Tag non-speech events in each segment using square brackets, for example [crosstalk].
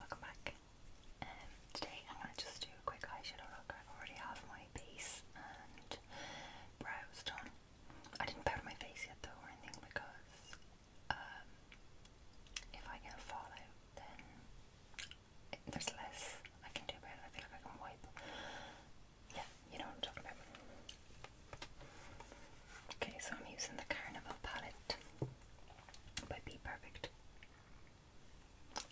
Welcome back. Um, today I'm going to just do a quick eyeshadow look. I already have my base and brows done. I didn't powder my face yet though or anything because um, if I get fallout then there's less I can do about it. I I can wipe. Yeah, you know what I'm talking about. Okay, so I'm using the Carnival palette by Be Perfect.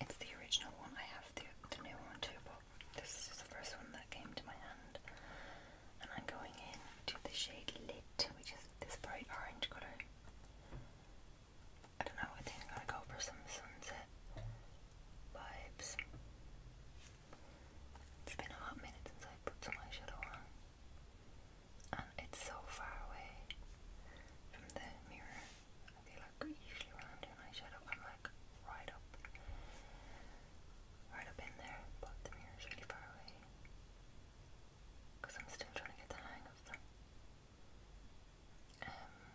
It's the original one. I have the, the new one too, but this is the first one that came to my hand. And I'm going in to the shade Lit, which is this bright orange colour. I don't know, I think I'm gonna go for some sunset vibes. It's been a hot minute since I put some eyeshadow on and it's so far away from the mirror. I feel like usually when I'm doing eyeshadow, I'm like right up, right up in there, but the mirror's really far away because I'm still trying to get the hang of them. Um,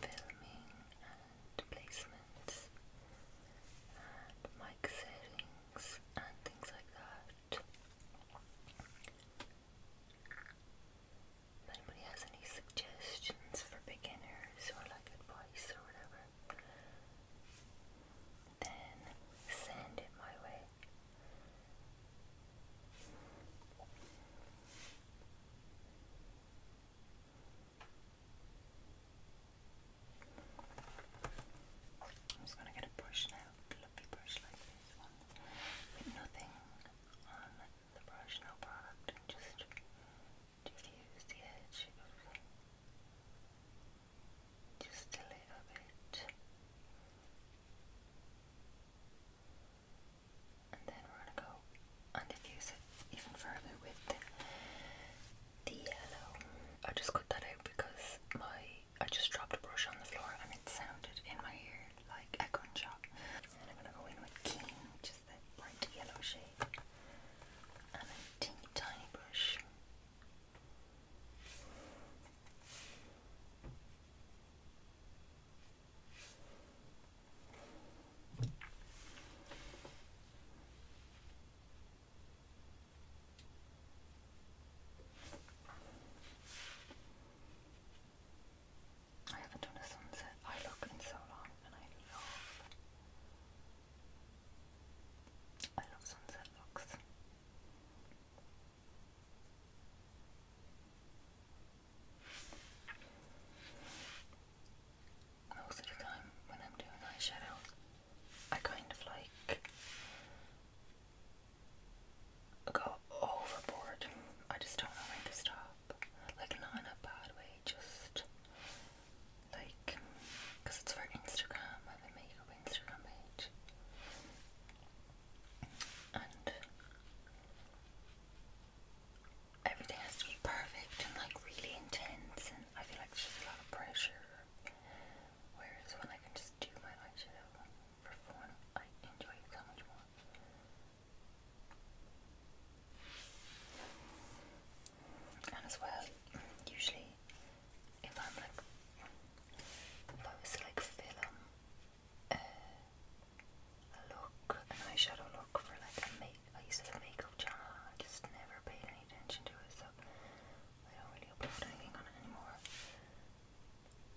filming and placements and mic settings and things like that out. If anybody has any suggestions for beginners or like advice or whatever, then send it my way. I'm just going to get a brush now, a brush like this one, with nothing on the brush, no product, just, just the edge just a little bit. And then we're going to go and diffuse it even further with the yellow. I just cut that out because my I just dropped a brush on the floor and it sounded in my ear like a gunshot. And I'm gonna go in with Keen, which is bright yellow shade, and a teeny tiny brush. I haven't done a sunset. I look in so long and I love I love sunset looks. Most of the time when I'm doing eyeshadow I kind of like go overboard. I just don't know when to stop. Like, not in a bad way, just like, because it's for Instagram, I have a makeup Instagram page. And everything has to be perfect and like really intense, and I feel like there's just a lot of pressure Whereas when I can just do my eyeshadow for fun, I enjoy so much more. And as well, usually if I'm like, if I was to like film uh, a look, an eyeshadow look for like a make, I used to a makeup channel I just never paid any attention to it so I don't really upload anything on it anymore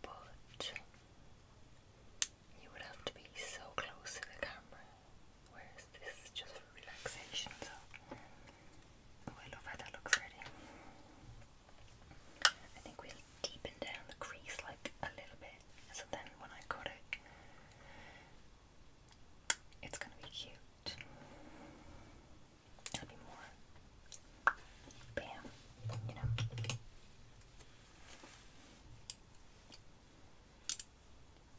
but you would have to be so close to the camera, whereas this is just for relaxation. So, I love how that looks already. I think we'll deepen down the crease like a little bit, so then when I cut it, it's gonna be cute bam, you know.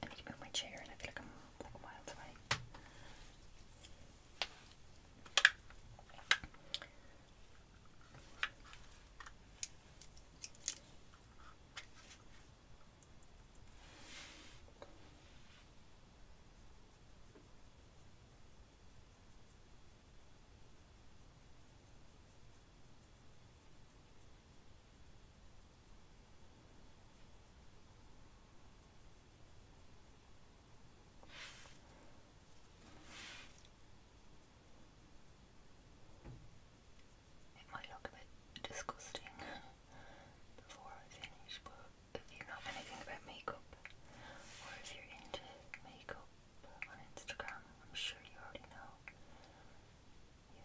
I need to move my chair and I feel like I'm like a wild away. It might look a bit disgusting [laughs] before I finish, but if you know anything about makeup, or if you're into makeup on Instagram, I'm sure you already know.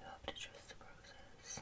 You have to trust the process.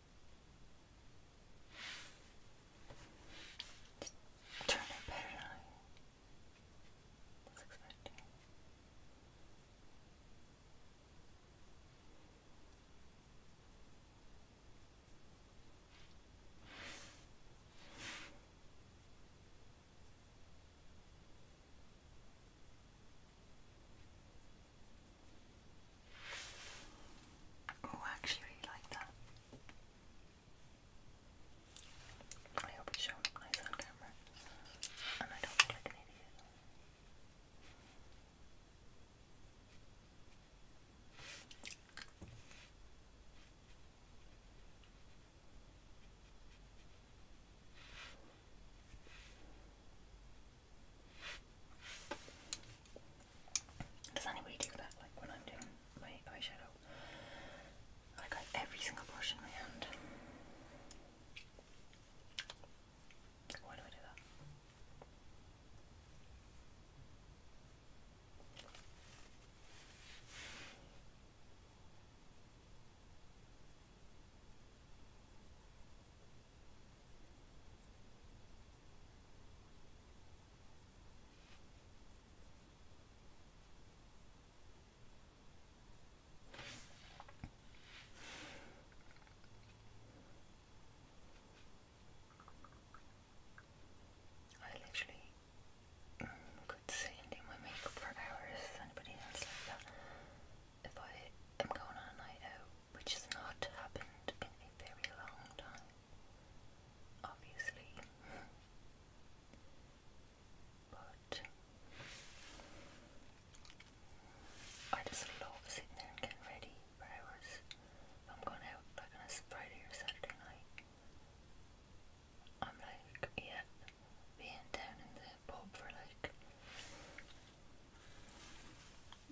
Turn it parallel. That's expected. Good. Oh, I actually really like that. I hope it's showing nice on camera. And I don't look like an idiot. Does anybody do that like when I'm doing my eyeshadow? I got every single brush in my hand. Why do I do that? I literally mm, could sit and do my makeup for hours. anybody else like that? If I am going on a night out which has not happened in a very long time, obviously. [laughs] but I just love sitting there and getting ready for hours. If I'm going out like on a Friday or Saturday night, I'm like, yeah, being down in the pub for like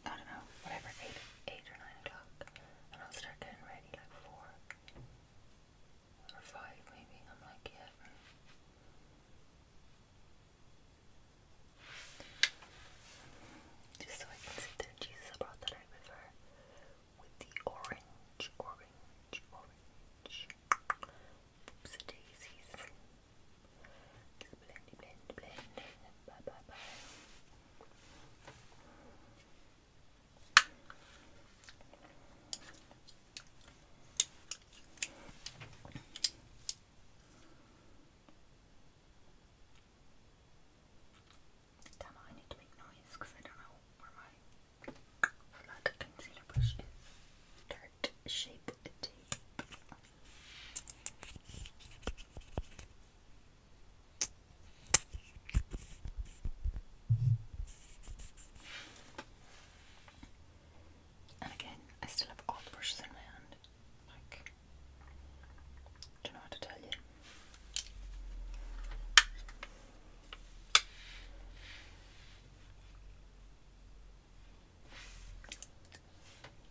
I don't know, whatever, 8, eight or 9 o'clock, and I'll start getting ready like 4 or 5 maybe, I'm like, yeah. Just so I can sit there, Jesus, I that out with with the orange, orange, orange, oops daisies. Just blend, blend, Bye, bye, bye. Damn I need to make noise because I don't know where my flat concealer brush is. Dirt shaped and again, I still have all the brushes in my hand. Like, don't know how to tell you.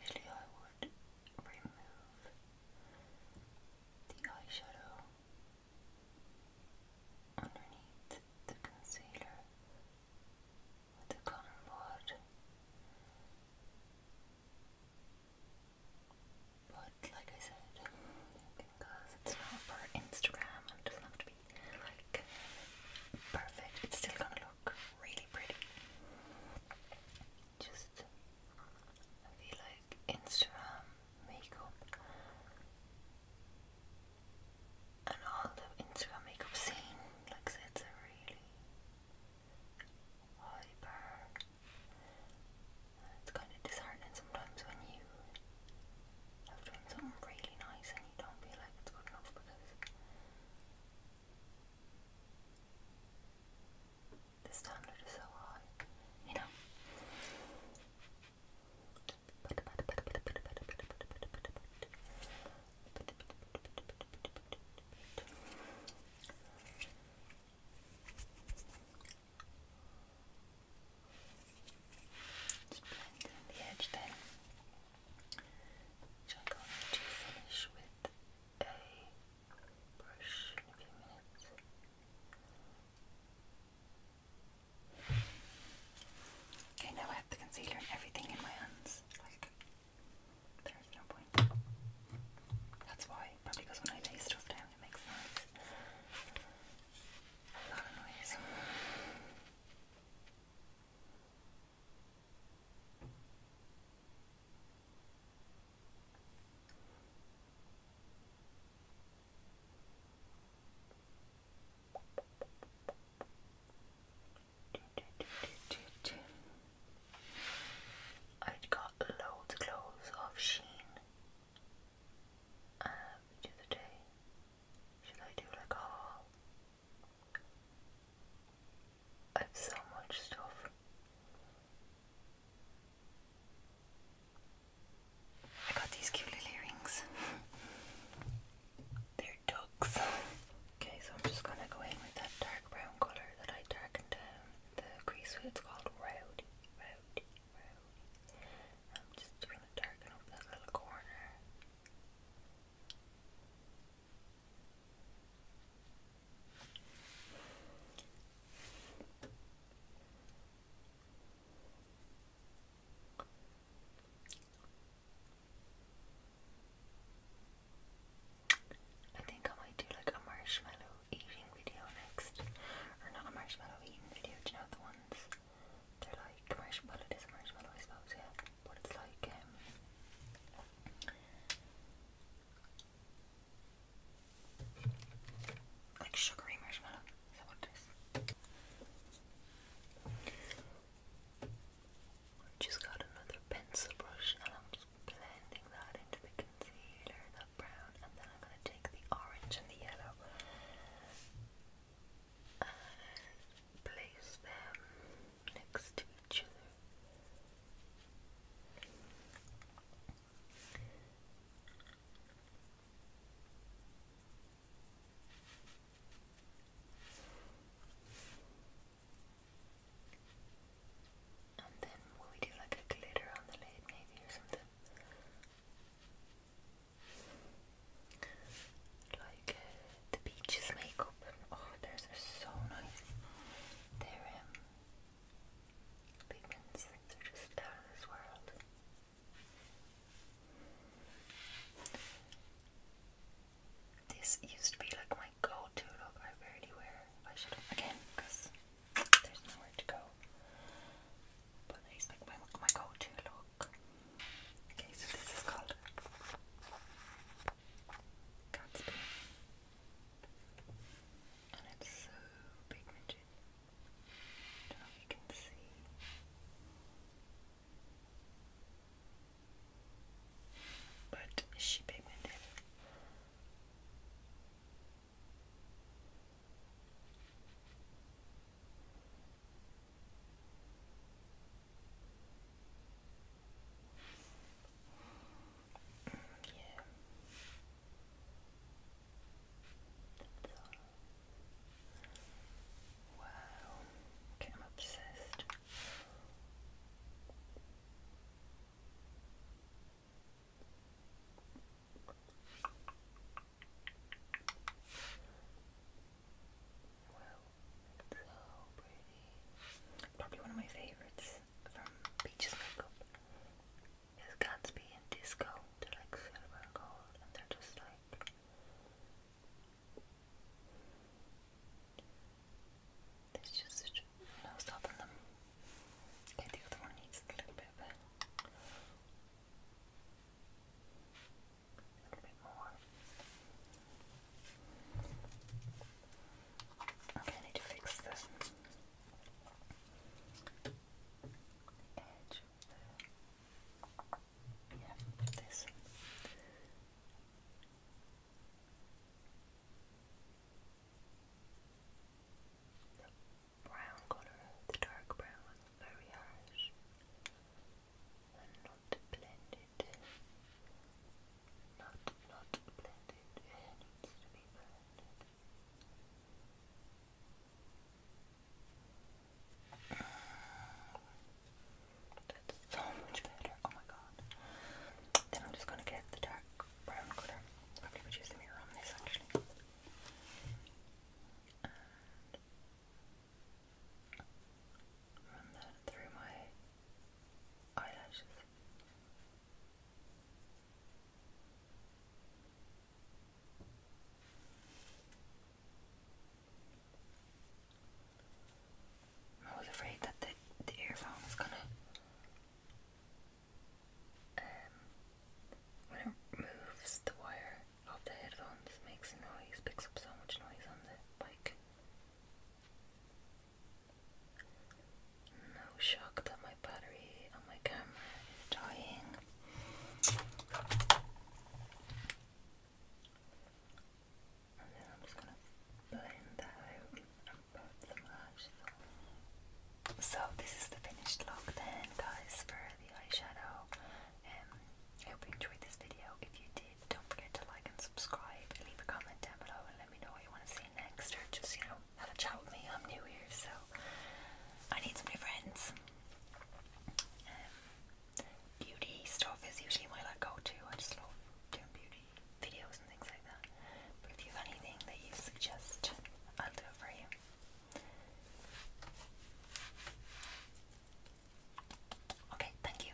Usually I would remove the eyeshadow underneath the concealer with the cotton bud, but like I said, because it's not for Instagram it doesn't have to be like perfect, it's still gonna look really pretty. Just I feel like Instagram makeup and all the Instagram makeup scene, like it's a really hyper. It's kind of disheartening sometimes when you have done something really nice and you don't feel like it's going off because the standard is so high, you know. Just blend in the edge then. I'm going to finish with a brush Okay, now I have the concealer and everything in my hands. Like, there's no point. That's why, probably because when I lay stuff down, it makes noise. A lot of noise. I'd got loads of clothes off Sheen um, the day. Should I do like a I have so much stuff. I got these cute little earrings. [laughs] They're ducks. Okay, so I'm just gonna go in with that dark brown colour that I darkened down um, the crease with. It's called Rowdy, Rowdy, Rowdy. I'm just gonna darken up that little corner. I think I might do like a marshmallow eating video next. Or not a marshmallow eating video, do you know the ones? They're like marshmallow, well it is a marshmallow yeah. But it's like um, like sugary marshmallow. Is that what it is? Just got another pencil brush I'm just blending that into the concealer, that brown, and then I'm gonna take the orange and the yellow and place them next to each other. And then will we do like a glitter on the lid maybe or something? Like the Beaches makeup. Oh, theirs are so nice. They're um, pigments. They're just out world. This used to be like my go-to look. I rarely wear eyeshadow again because there's nowhere to go. But it's like my, my go-to look. Okay, so this is called Gatsby. And it's so pigmented. don't know if you can see. But she pigmented. Yeah. That's all. Wow. Okay, I'm obsessed. Well, Probably one of my favorites from Peaches Makeup is Gatsby and Disco. They're like silver and gold and they're just like there's just no stopping them. Okay, the other one needs A little bit more. Okay, I need to fix the edge yeah, this. brown color, the dark brown, very harsh and not blended that's so much better. Oh my god. Then I'm just gonna get the dark brown color. Probably could use the mirror on this actually. run that through my I was afraid that the, the earphone was gonna um, when it moves the wire off the headphones makes noise, picks up so much noise on the bike. No shock that my battery on my camera is dying. And then I'm just gonna blend that out and put some lash So this is the finished look then guys for the eyeshadow. Um, I hope you enjoyed this video. If you did, don't forget to like and subscribe. Leave a comment down below let me know what you want to see next, or just, you know, have a chat with me. I'm new here, so I need some new friends. Um, beauty stuff is usually my like go to. I just love doing beauty videos and things like that. But if you have anything that you suggest, I'll do it for you. Okay, thank you.